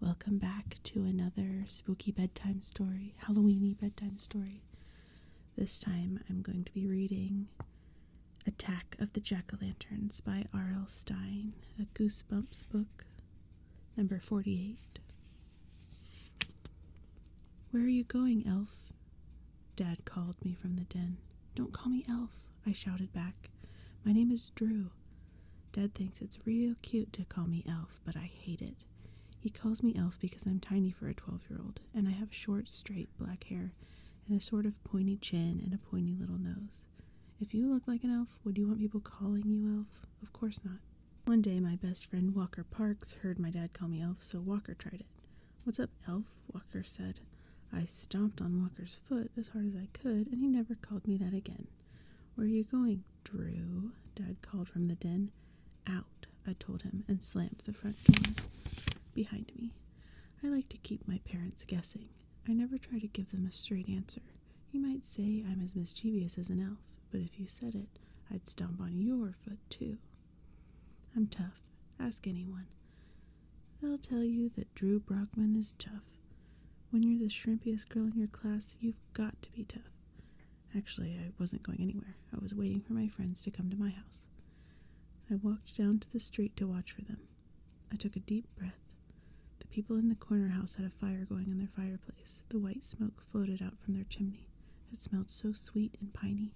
Welcome back to another spooky bedtime story, Halloweeny bedtime story. This time I'm going to be reading Attack of the Jack o' Lanterns by R.L. Stein, a Goosebumps book, number 48. Where are you going, Elf? Dad called me from the den. Don't call me Elf, I shouted back. My name is Drew. Dad thinks it's real cute to call me Elf, but I hate it. He calls me Elf because I'm tiny for a 12 year old, and I have short, straight black hair and a sort of pointy chin and a pointy little nose. If you look like an elf, would you want people calling you elf? Of course not. One day, my best friend Walker Parks heard my dad call me elf, so Walker tried it. What's up, elf? Walker said. I stomped on Walker's foot as hard as I could, and he never called me that again. Where are you going, Drew? Dad called from the den. Out, I told him, and slammed the front door behind me. I like to keep my parents guessing. I never try to give them a straight answer. You might say I'm as mischievous as an elf, but if you said it, I'd stomp on your foot too. I'm tough. Ask anyone. They'll tell you that Drew Brockman is tough. When you're the shrimpiest girl in your class, you've got to be tough. Actually, I wasn't going anywhere. I was waiting for my friends to come to my house. I walked down to the street to watch for them. I took a deep breath. The people in the corner house had a fire going in their fireplace. The white smoke floated out from their chimney. It smelled so sweet and piney.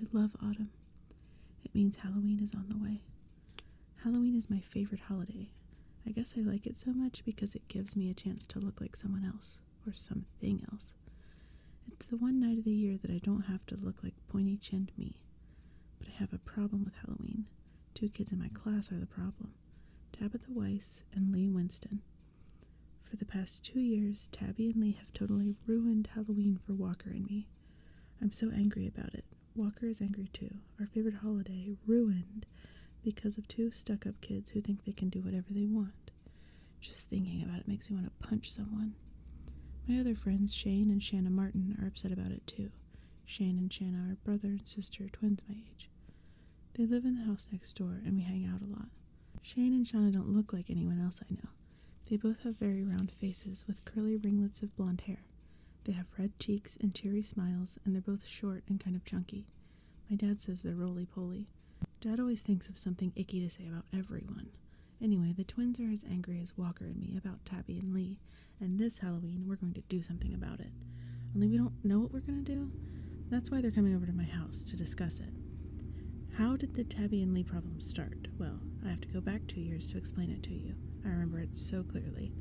I love autumn. It means Halloween is on the way. Halloween is my favorite holiday. I guess I like it so much because it gives me a chance to look like someone else, or something else. It's the one night of the year that I don't have to look like pointy chinned me. But I have a problem with Halloween. Two kids in my class are the problem Tabitha Weiss and Lee Winston. For the past two years, Tabby and Lee have totally ruined Halloween for Walker and me. I'm so angry about it. Walker is angry too. Our favorite holiday ruined because of two stuck up kids who think they can do whatever they want. Just thinking about it makes me want to punch someone. My other friends, Shane and Shanna Martin, are upset about it too. Shane and Shanna are brother and sister, twins my age. They live in the house next door and we hang out a lot. Shane and Shanna don't look like anyone else I know. They both have very round faces with curly ringlets of blond hair they have red cheeks and cheery smiles, and they're both short and kind of chunky. My dad says they're roly poly. Dad always thinks of something icky to say about everyone. Anyway, the twins are as angry as Walker and me about Tabby and Lee, and this Halloween we're going to do something about it. Only we don't know what we're going to do. That's why they're coming over to my house to discuss it. How did the Tabby and Lee problem start? Well, I have to go back two years to explain it to you. I remember it so clearly.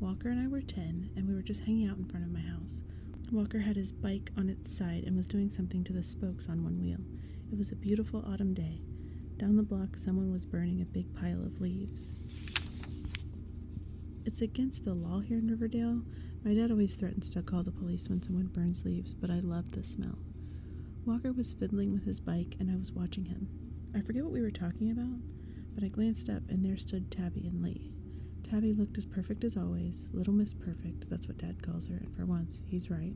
Walker and I were 10, and we were just hanging out in front of my house. Walker had his bike on its side and was doing something to the spokes on one wheel. It was a beautiful autumn day. Down the block, someone was burning a big pile of leaves. It's against the law here in Riverdale. My dad always threatens to call the police when someone burns leaves, but I loved the smell. Walker was fiddling with his bike, and I was watching him. I forget what we were talking about, but I glanced up and there stood Tabby and Lee. Tabby looked as perfect as always, little Miss Perfect, that's what Dad calls her, and for once, he's right.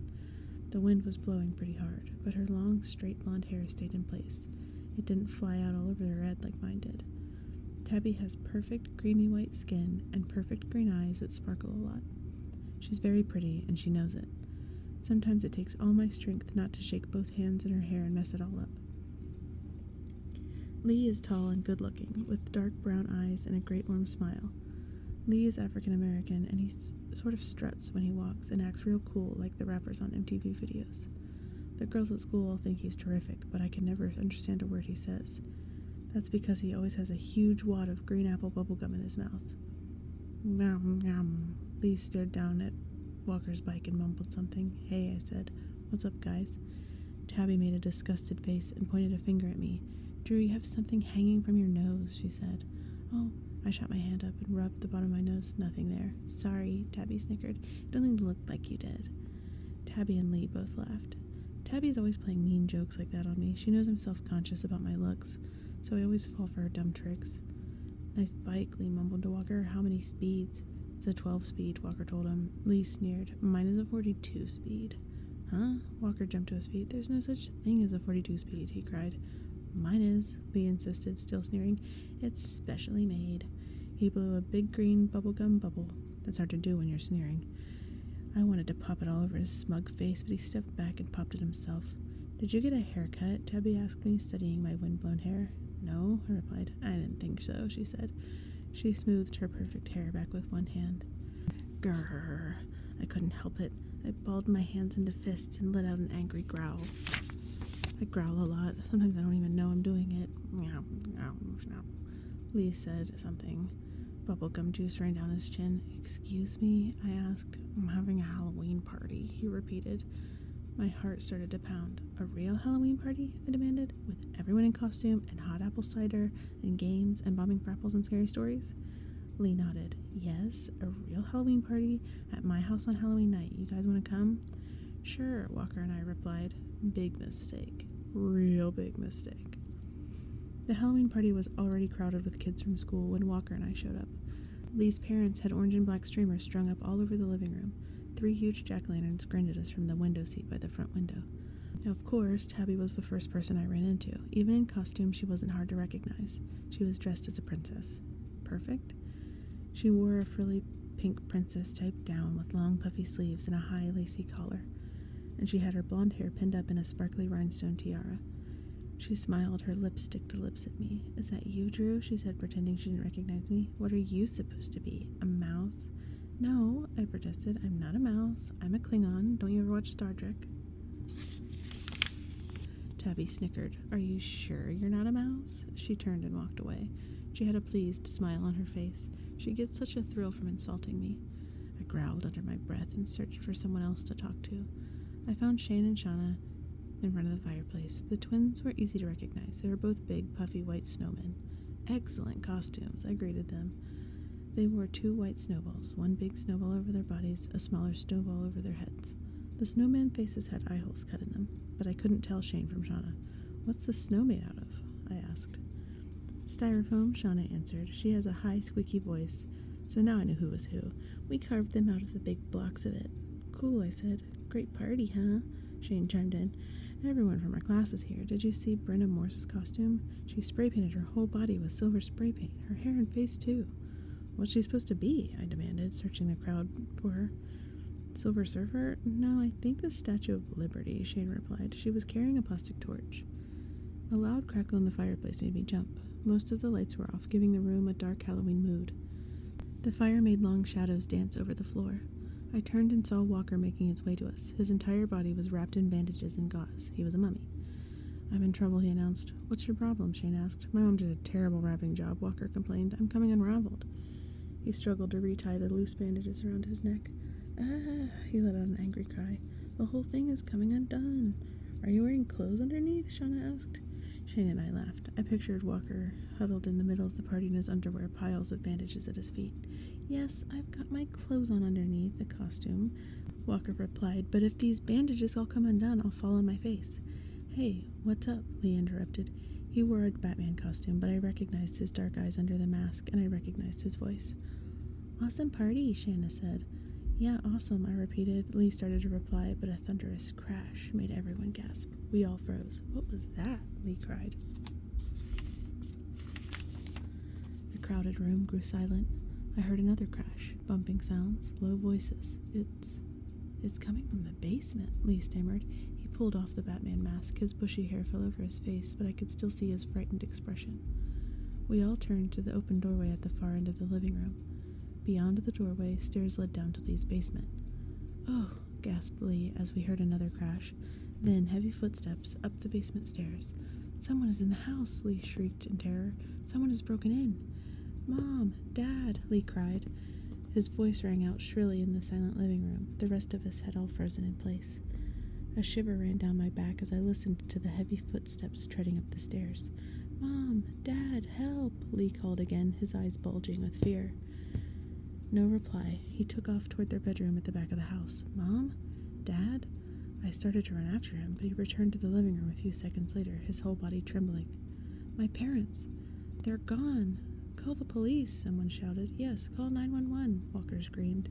The wind was blowing pretty hard, but her long, straight blonde hair stayed in place. It didn't fly out all over the red like mine did. Tabby has perfect creamy white skin and perfect green eyes that sparkle a lot. She's very pretty, and she knows it. Sometimes it takes all my strength not to shake both hands in her hair and mess it all up. Lee is tall and good looking, with dark brown eyes and a great warm smile. Lee is African American and he sort of struts when he walks and acts real cool like the rappers on MTV videos. The girls at school all think he's terrific, but I can never understand a word he says. That's because he always has a huge wad of green apple bubblegum in his mouth. Nom, nom. Lee stared down at Walker's bike and mumbled something. Hey, I said. What's up, guys? Tabby made a disgusted face and pointed a finger at me. Drew, you have something hanging from your nose, she said. Oh, I shot my hand up and rubbed the bottom of my nose. Nothing there. Sorry, Tabby snickered. It even look like you did. Tabby and Lee both laughed. Tabby's always playing mean jokes like that on me. She knows I'm self conscious about my looks, so I always fall for her dumb tricks. Nice bike, Lee mumbled to walker. How many speeds? It's a 12 speed, Walker told him. Lee sneered. Mine is a 42 speed. Huh? Walker jumped to his feet. There's no such thing as a 42 speed, he cried. Mine is, Lee insisted, still sneering. It's specially made. He blew a big green bubble gum bubble. That's hard to do when you're sneering. I wanted to pop it all over his smug face, but he stepped back and popped it himself. Did you get a haircut? Tabby asked me, studying my windblown hair. No, I replied. I didn't think so, she said. She smoothed her perfect hair back with one hand. Grrr. I couldn't help it. I balled my hands into fists and let out an angry growl. I growl a lot. Sometimes I don't even know I'm doing it. Lee said something. Bubblegum juice ran down his chin. Excuse me? I asked. I'm having a Halloween party, he repeated. My heart started to pound. A real Halloween party? I demanded, with everyone in costume and hot apple cider and games and bombing apples, and scary stories? Lee nodded. Yes, a real Halloween party at my house on Halloween night. You guys want to come? Sure, Walker and I replied. Big mistake. Real big mistake. The Halloween party was already crowded with kids from school when Walker and I showed up. Lee's parents had orange and black streamers strung up all over the living room. Three huge jack lanterns grinned at us from the window seat by the front window. Now, of course, Tabby was the first person I ran into. Even in costume, she wasn't hard to recognize. She was dressed as a princess. Perfect? She wore a frilly pink princess type gown with long puffy sleeves and a high lacy collar, and she had her blonde hair pinned up in a sparkly rhinestone tiara. She smiled her lipstick to lips at me, is that you, Drew? She said, pretending she didn't recognize me. What are you supposed to be? A mouse? No, I protested. I'm not a mouse. I'm a Klingon. Don't you ever watch Star Trek? Tabby snickered. Are you sure you're not a mouse? She turned and walked away. She had a pleased smile on her face. She gets such a thrill from insulting me. I growled under my breath and searched for someone else to talk to. I found Shane and Shauna. In front of the fireplace, the twins were easy to recognize. They were both big, puffy white snowmen. Excellent costumes, I greeted them. They wore two white snowballs, one big snowball over their bodies, a smaller snowball over their heads. The snowman faces had eye holes cut in them, but I couldn't tell Shane from Shauna. What's the snow made out of? I asked. Styrofoam, Shauna answered. She has a high, squeaky voice, so now I knew who was who. We carved them out of the big blocks of it. Cool, I said. Great party, huh? Shane chimed in. Everyone from our class is here. Did you see Brenda Morse's costume? She spray painted her whole body with silver spray paint, her hair and face too. What's she supposed to be? I demanded, searching the crowd for her. Silver Surfer? No, I think the Statue of Liberty, Shane replied. She was carrying a plastic torch. A loud crackle in the fireplace made me jump. Most of the lights were off giving the room a dark Halloween mood. The fire made long shadows dance over the floor. I turned and saw Walker making his way to us. His entire body was wrapped in bandages and gauze. He was a mummy. I'm in trouble, he announced. What's your problem? Shane asked. My mom did a terrible wrapping job, Walker complained. I'm coming unraveled. He struggled to retie the loose bandages around his neck. Ah, he let out an angry cry. The whole thing is coming undone. Are you wearing clothes underneath? Shauna asked. Shana and I laughed. I pictured Walker huddled in the middle of the party in his underwear, piles of bandages at his feet. Yes, I've got my clothes on underneath the costume, Walker replied, but if these bandages all come undone, I'll fall on my face. Hey, what's up? Lee interrupted. He wore a Batman costume, but I recognized his dark eyes under the mask, and I recognized his voice. Awesome party, Shana said. Yeah, awesome, I repeated. Lee started to reply, but a thunderous crash made everyone gasp. We all froze. What was that? Lee cried. The crowded room grew silent. I heard another crash, bumping sounds, low voices. It's. It's coming from the basement, Lee stammered. He pulled off the Batman mask. His bushy hair fell over his face, but I could still see his frightened expression. We all turned to the open doorway at the far end of the living room. Beyond the doorway, stairs led down to Lee's basement. Oh, gasped Lee as we heard another crash, then heavy footsteps up the basement stairs. Someone is in the house, Lee shrieked in terror. Someone has broken in. Mom, Dad, Lee cried. His voice rang out shrilly in the silent living room. The rest of us had all frozen in place. A shiver ran down my back as I listened to the heavy footsteps treading up the stairs. Mom, Dad, help! Lee called again, his eyes bulging with fear. No reply. He took off toward their bedroom at the back of the house. Mom? Dad? I started to run after him, but he returned to the living room a few seconds later, his whole body trembling. My parents! They're gone! Call the police, someone shouted. Yes, call 911, Walker screamed.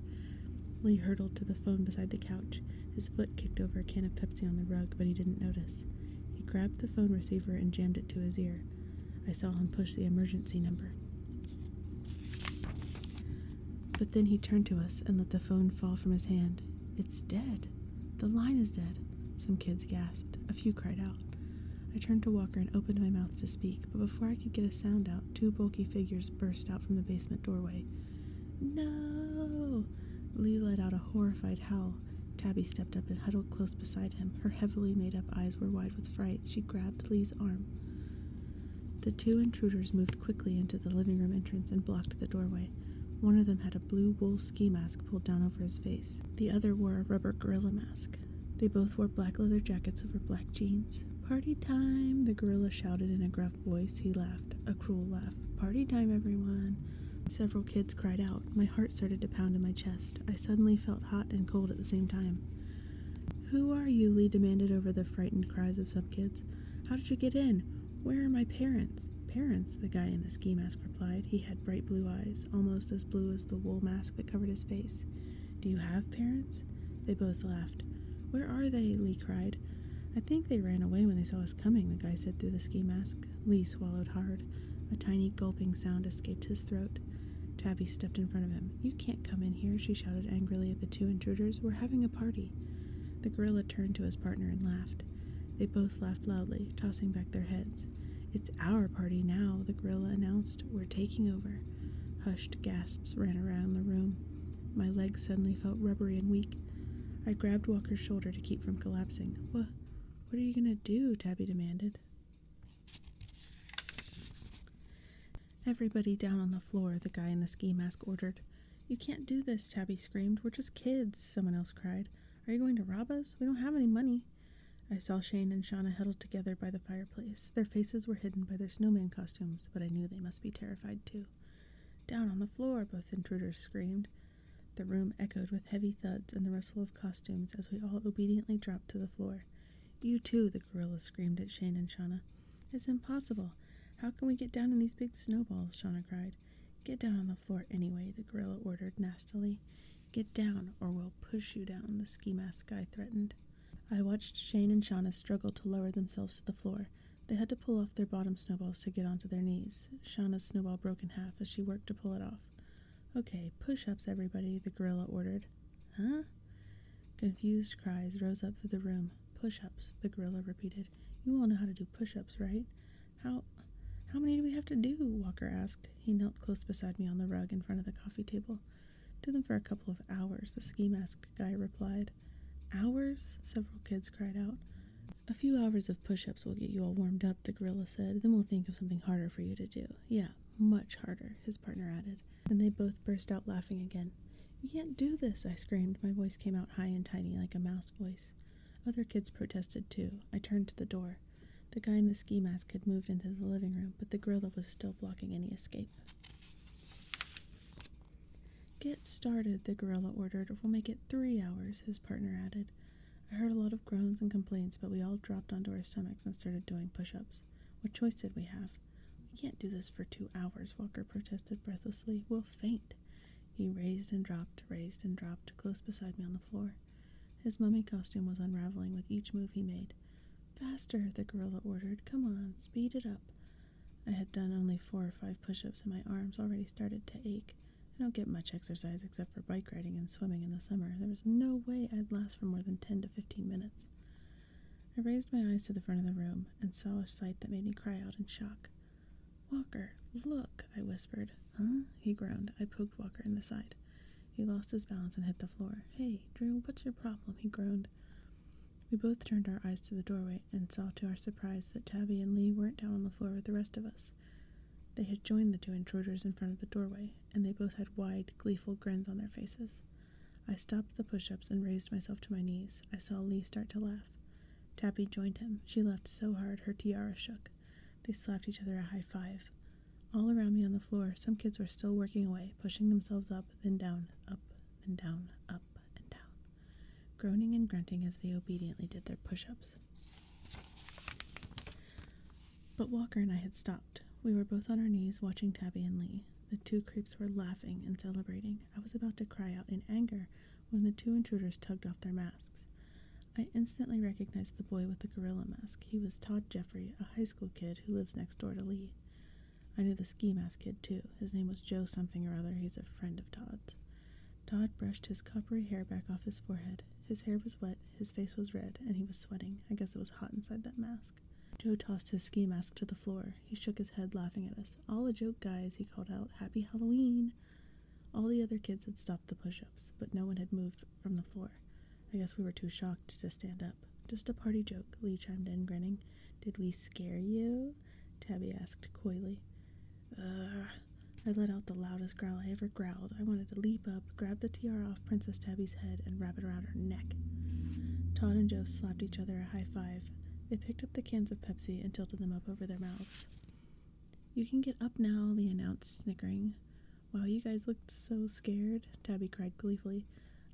Lee hurtled to the phone beside the couch. His foot kicked over a can of Pepsi on the rug, but he didn't notice. He grabbed the phone receiver and jammed it to his ear. I saw him push the emergency number. But then he turned to us and let the phone fall from his hand. It's dead. The line is dead. Some kids gasped. A few cried out. I turned to Walker and opened my mouth to speak, but before I could get a sound out, two bulky figures burst out from the basement doorway. No! Lee let out a horrified howl. Tabby stepped up and huddled close beside him. Her heavily made up eyes were wide with fright. She grabbed Lee's arm. The two intruders moved quickly into the living room entrance and blocked the doorway. One of them had a blue wool ski mask pulled down over his face. The other wore a rubber gorilla mask. They both wore black leather jackets over black jeans. Party time! The gorilla shouted in a gruff voice. He laughed a cruel laugh. Party time, everyone! Several kids cried out. My heart started to pound in my chest. I suddenly felt hot and cold at the same time. Who are you? Lee demanded over the frightened cries of some kids. How did you get in? Where are my parents? Parents, the guy in the ski mask replied. He had bright blue eyes, almost as blue as the wool mask that covered his face. Do you have parents? They both laughed. Where are they? Lee cried. I think they ran away when they saw us coming, the guy said through the ski mask. Lee swallowed hard. A tiny gulping sound escaped his throat. Tabby stepped in front of him. You can't come in here, she shouted angrily at the two intruders. We're having a party. The gorilla turned to his partner and laughed. They both laughed loudly, tossing back their heads. It's our party now, the gorilla announced. We're taking over. Hushed gasps ran around the room. My legs suddenly felt rubbery and weak. I grabbed Walker's shoulder to keep from collapsing. What? What are you gonna do? Tabby demanded. Everybody down on the floor, the guy in the ski mask ordered. You can't do this, Tabby screamed. We're just kids, someone else cried. Are you going to rob us? We don't have any money. I saw Shane and Shauna huddled together by the fireplace. Their faces were hidden by their snowman costumes, but I knew they must be terrified too. Down on the floor, both intruders screamed. The room echoed with heavy thuds and the rustle of costumes as we all obediently dropped to the floor. You too, the gorilla screamed at Shane and Shauna. It's impossible. How can we get down in these big snowballs? Shauna cried. Get down on the floor anyway, the gorilla ordered nastily. Get down, or we'll push you down, the ski mask guy threatened. I watched Shane and Shauna struggle to lower themselves to the floor. They had to pull off their bottom snowballs to get onto their knees. Shauna's snowball broke in half as she worked to pull it off. Okay, push ups, everybody, the gorilla ordered. Huh? Confused cries rose up through the room. Push ups, the gorilla repeated. You all know how to do push ups, right? How how many do we have to do? Walker asked. He knelt close beside me on the rug in front of the coffee table. Do them for a couple of hours, the ski mask guy replied. Hours? Several kids cried out. A few hours of push ups will get you all warmed up, the gorilla said. Then we'll think of something harder for you to do. Yeah, much harder, his partner added. And they both burst out laughing again. You can't do this, I screamed. My voice came out high and tiny like a mouse voice. Other kids protested too. I turned to the door. The guy in the ski mask had moved into the living room, but the gorilla was still blocking any escape. Get started, the gorilla ordered. We'll make it three hours, his partner added. I heard a lot of groans and complaints, but we all dropped onto our stomachs and started doing push ups. What choice did we have? We can't do this for two hours, Walker protested breathlessly. We'll faint. He raised and dropped, raised and dropped, close beside me on the floor. His mummy costume was unraveling with each move he made. Faster, the gorilla ordered. Come on, speed it up. I had done only four or five push ups, and my arms already started to ache. I don't get much exercise except for bike riding and swimming in the summer. There was no way I'd last for more than 10 to 15 minutes. I raised my eyes to the front of the room and saw a sight that made me cry out in shock. Walker, look, I whispered. Huh? He groaned. I poked Walker in the side. He lost his balance and hit the floor. Hey, Drew, what's your problem? He groaned. We both turned our eyes to the doorway and saw to our surprise that Tabby and Lee weren't down on the floor with the rest of us. They had joined the two intruders in front of the doorway, and they both had wide, gleeful grins on their faces. I stopped the push ups and raised myself to my knees. I saw Lee start to laugh. Tabby joined him. She laughed so hard her tiara shook. They slapped each other a high five. All around me on the floor, some kids were still working away, pushing themselves up, then down, up, then down, up and down, groaning and grunting as they obediently did their push ups. But Walker and I had stopped. We were both on our knees watching Tabby and Lee. The two creeps were laughing and celebrating. I was about to cry out in anger when the two intruders tugged off their masks. I instantly recognized the boy with the gorilla mask. He was Todd Jeffrey, a high school kid who lives next door to Lee. I knew the ski mask kid too. His name was Joe something or other. He's a friend of Todd's. Todd brushed his coppery hair back off his forehead. His hair was wet, his face was red, and he was sweating. I guess it was hot inside that mask. Joe tossed his ski mask to the floor. He shook his head, laughing at us. All a joke, guys, he called out. Happy Halloween! All the other kids had stopped the push ups, but no one had moved from the floor. I guess we were too shocked to stand up. Just a party joke, Lee chimed in, grinning. Did we scare you? Tabby asked coyly. Ugh. I let out the loudest growl I ever growled. I wanted to leap up, grab the tiara off Princess Tabby's head, and wrap it around her neck. Todd and Joe slapped each other a high five. They picked up the cans of Pepsi and tilted them up over their mouths. You can get up now, they announced, snickering. Wow, you guys looked so scared, Tabby cried gleefully.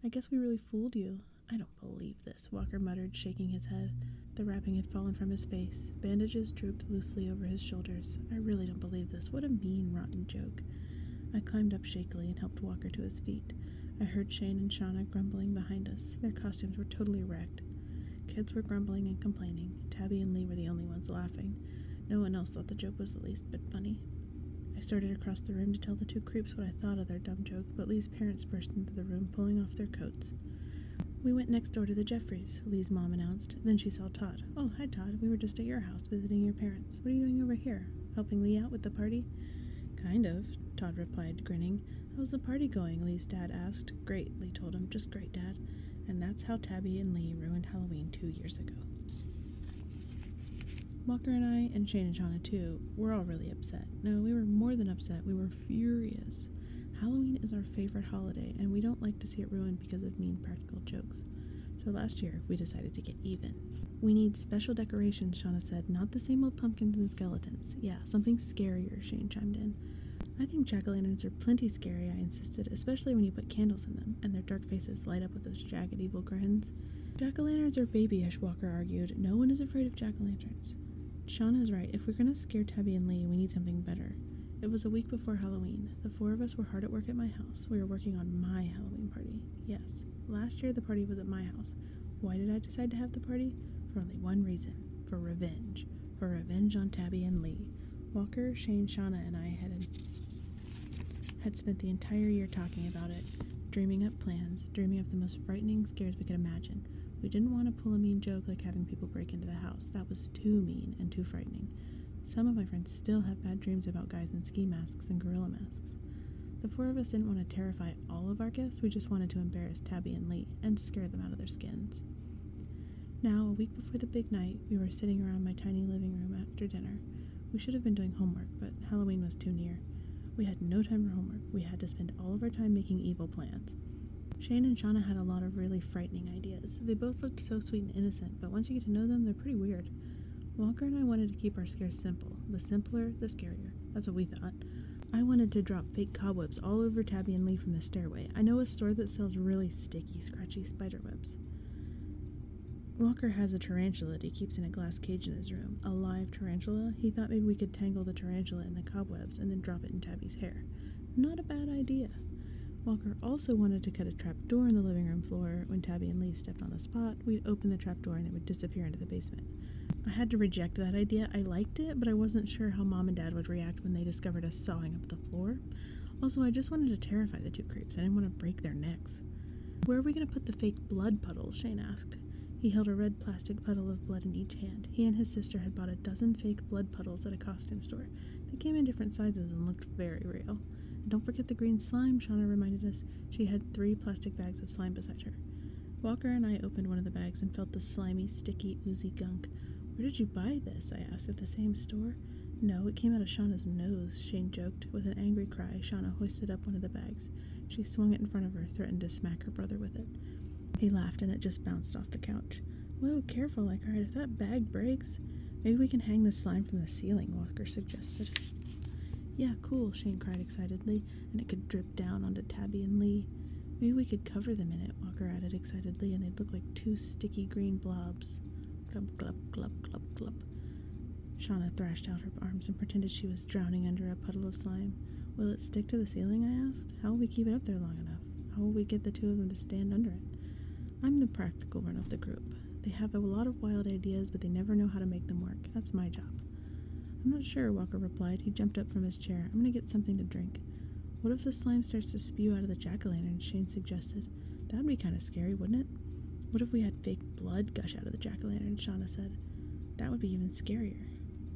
I guess we really fooled you. I don't believe this, Walker muttered, shaking his head. The wrapping had fallen from his face. Bandages drooped loosely over his shoulders. I really don't believe this. What a mean, rotten joke. I climbed up shakily and helped Walker to his feet. I heard Shane and Shauna grumbling behind us. Their costumes were totally wrecked. Kids were grumbling and complaining. Tabby and Lee were the only ones laughing. No one else thought the joke was the least bit funny. I started across the room to tell the two creeps what I thought of their dumb joke but Lee's parents burst into the room, pulling off their coats. We went next door to the Jeffreys, Lee's mom announced. Then she saw Todd. Oh, hi, Todd. We were just at your house visiting your parents. What are you doing over here? Helping Lee out with the party? Kind of, Todd replied, grinning. How's the party going? Lee's dad asked. Great, Lee told him. Just great, Dad. And that's how Tabby and Lee ruined Halloween two years ago. Walker and I, and Shane and Shauna too, were all really upset. No, we were more than upset. We were furious. Halloween is our favorite holiday, and we don't like to see it ruined because of mean practical jokes. So last year, we decided to get even. We need special decorations, Shauna said, not the same old pumpkins and skeletons. Yeah, something scarier, Shane chimed in. I think jack o' lanterns are plenty scary, I insisted, especially when you put candles in them, and their dark faces light up with those jagged evil grins. Jack o' lanterns are babyish, Walker argued. No one is afraid of jack o' lanterns parents. Sean is right. If we're going to scare Tabby and Lee, we need something better. It was a week before Halloween. The four of us were hard at work at my house. We were working on my Halloween party. Yes, last year the party was at my house. Why did I decide to have the party? For only one reason for revenge. For revenge on Tabby and Lee. Walker, Shane, Shauna, and I had, had spent the entire year talking about it, dreaming up plans, dreaming up the most frightening scares we could imagine. We didn't want to pull a mean joke like having people break into the house. That was too mean and too frightening. Some of my friends still have bad dreams about guys in ski masks and gorilla masks. The four of us didn't want to terrify all of our guests, we just wanted to embarrass Tabby and Lee and scare them out of their skins. Now, a week before the big night, we were sitting around my tiny living room after dinner. We should have been doing homework, but Halloween was too near. We had no time for homework. We had to spend all of our time making evil plans. Shane and Shauna had a lot of really frightening ideas. They both looked so sweet and innocent, but once you get to know them, they're pretty weird. Walker and I wanted to keep our scares simple. The simpler, the scarier. That's what we thought. I wanted to drop fake cobwebs all over Tabby and Lee from the stairway. I know a store that sells really sticky, scratchy spiderwebs. Walker has a tarantula that he keeps in a glass cage in his room. A live tarantula? He thought maybe we could tangle the tarantula in the cobwebs and then drop it in Tabby's hair. Not a bad idea. Walker also wanted to cut a trap door in the living room floor. When Tabby and Lee stepped on the spot, we'd open the trap door and they would disappear into the basement. I had to reject that idea. I liked it, but I wasn't sure how mom and dad would react when they discovered us sawing up the floor. Also, I just wanted to terrify the two creeps. I didn't want to break their necks. Where are we going to put the fake blood puddles? Shane asked. He held a red plastic puddle of blood in each hand. He and his sister had bought a dozen fake blood puddles at a costume store. They came in different sizes and looked very real. And don't forget the green slime, Shauna reminded us. She had three plastic bags of slime beside her. Walker and I opened one of the bags and felt the slimy, sticky, oozy gunk. Where did you buy this? I asked at the same store. No, it came out of Shauna's nose, Shane joked. With an angry cry, Shauna hoisted up one of the bags. She swung it in front of her, threatened to smack her brother with it. He laughed and it just bounced off the couch. Whoa, careful, All right, If that bag breaks, maybe we can hang the slime from the ceiling, Walker suggested. Yeah, cool, Shane cried excitedly, and it could drip down onto Tabby and Lee. Maybe we could cover them in it, Walker added excitedly, and they'd look like two sticky green blobs. Glub, glub, glub, glub, glub. Shauna thrashed out her arms and pretended she was drowning under a puddle of slime. Will it stick to the ceiling? I asked. How will we keep it up there long enough? How will we get the two of them to stand under it? I'm the practical one of the group. They have a lot of wild ideas, but they never know how to make them work. That's my job. I'm not sure, Walker replied. He jumped up from his chair. I'm going to get something to drink. What if the slime starts to spew out of the jack o' lantern? Shane suggested. That would be kind of scary, wouldn't it? What if we had fake blood gush out of the jack o' lantern? Shauna said. That would be even scarier.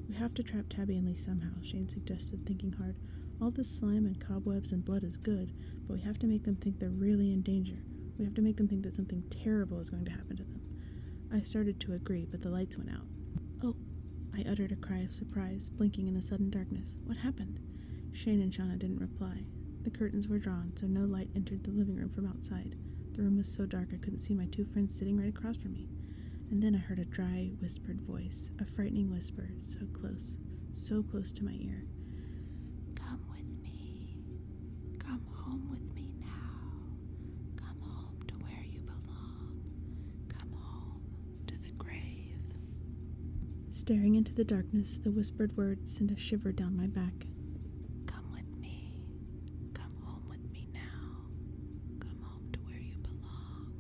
We have to trap Tabby and Lee somehow, Shane suggested, thinking hard. All this slime and cobwebs and blood is good, but we have to make them think they're really in danger. We have to make them think that something terrible is going to happen to them. I started to agree, but the lights went out. Oh, I uttered a cry of surprise, blinking in the sudden darkness. What happened? Shane and Shauna didn't reply. The curtains were drawn, so no light entered the living room from outside. The room was so dark I couldn't see my two friends sitting right across from me. And then I heard a dry, whispered voice, a frightening whisper, so close, so close to my ear. Come with me. Come home with me now. Come home to where you belong. Come home to the grave. Staring into the darkness, the whispered words sent a shiver down my back. Come with me. Come home with me now. Come home to where you belong.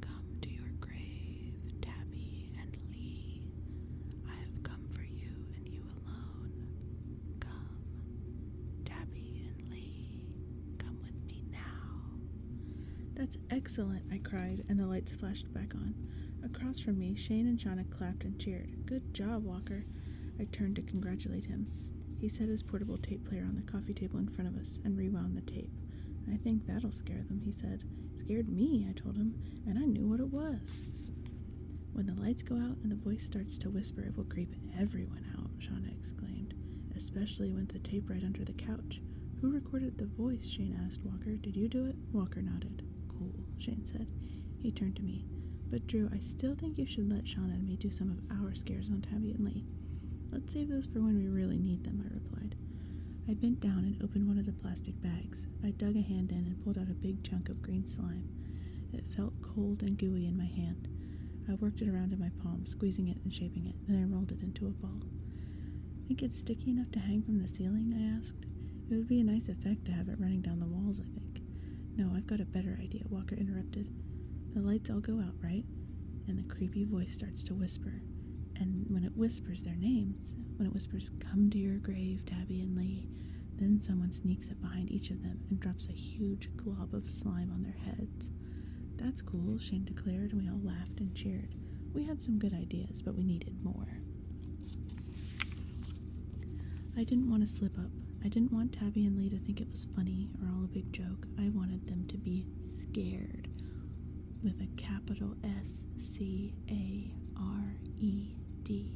Come to your grave, Tabby and Lee. I have come for you and you alone. Come, Tabby and Lee. Come with me now. That's excellent, I cried, and the lights flashed back on. Across from me, Shane and Shauna clapped and cheered. Good job, Walker. I turned to congratulate him. He set his portable tape player on the coffee table in front of us and rewound the tape. I think that'll scare them, he said. Scared me, I told him, and I knew what it was. When the lights go out and the voice starts to whisper, it will creep everyone out, Shauna exclaimed, especially when the tape right under the couch. Who recorded the voice? Shane asked Walker. Did you do it? Walker nodded. Cool, Shane said. He turned to me. But Drew, I still think you should let Shauna and me do some of our scares on Tabby and Lee. Let's save those for when we really need them, I replied. I bent down and opened one of the plastic bags. I dug a hand in and pulled out a big chunk of green slime. It felt cold and gooey in my hand. I worked it around in my palm, squeezing it and shaping it, then I rolled it into a ball. Think it's sticky enough to hang from the ceiling? I asked. It would be a nice effect to have it running down the walls, I think. No, I've got a better idea, Walker interrupted. The lights all go out, right? And the creepy voice starts to whisper. And when it whispers their names, when it whispers, Come to your grave, Tabby and Lee, then someone sneaks up behind each of them and drops a huge glob of slime on their heads. That's cool, Shane declared, and we all laughed and cheered. We had some good ideas, but we needed more. I didn't want to slip up. I didn't want Tabby and Lee to think it was funny or all a big joke. I wanted them to be scared with a capital S C A R E D.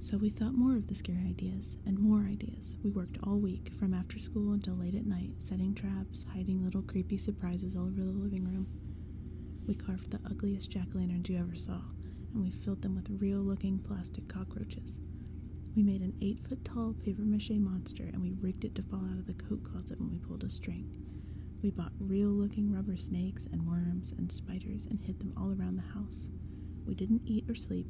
So we thought more of the scary ideas and more ideas. We worked all week from after school until late at night, setting traps, hiding little creepy surprises all over the living room. We carved the ugliest jack o' lanterns you ever saw, and we filled them with real looking plastic cockroaches. We made an eight foot tall papier mache monster and we rigged it to fall out of the coat closet when we pulled a string. We bought real looking rubber snakes and worms and spiders and hid them all around the house. We didn't eat or sleep.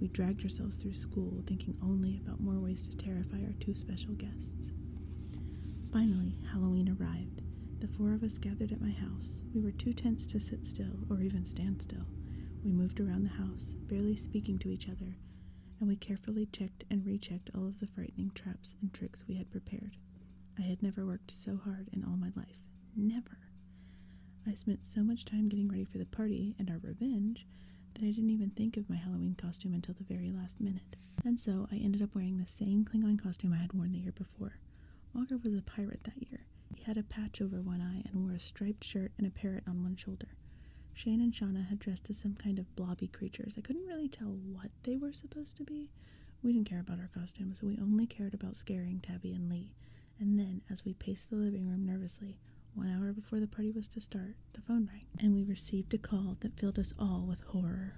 We dragged ourselves through school thinking only about more ways to terrify our two special guests. Finally, Halloween arrived. The four of us gathered at my house. We were too tense to sit still or even stand still. We moved around the house, barely speaking to each other, and we carefully checked and rechecked all of the frightening traps and tricks we had prepared. I had never worked so hard in all my life. Never. I spent so much time getting ready for the party and our revenge that I didn't even think of my Halloween costume until the very last minute. And so I ended up wearing the same Klingon costume I had worn the year before. Walker was a pirate that year he had a patch over one eye and wore a striped shirt and a parrot on one shoulder. Shane and Shauna had dressed as some kind of blobby creatures. I couldn't really tell what they were supposed to be. We didn't care about our costumes, so we only cared about scaring Tabby and Lee. And then, as we paced the living room nervously, one hour before the party was to start, the phone rang, and we received a call that filled us all with horror.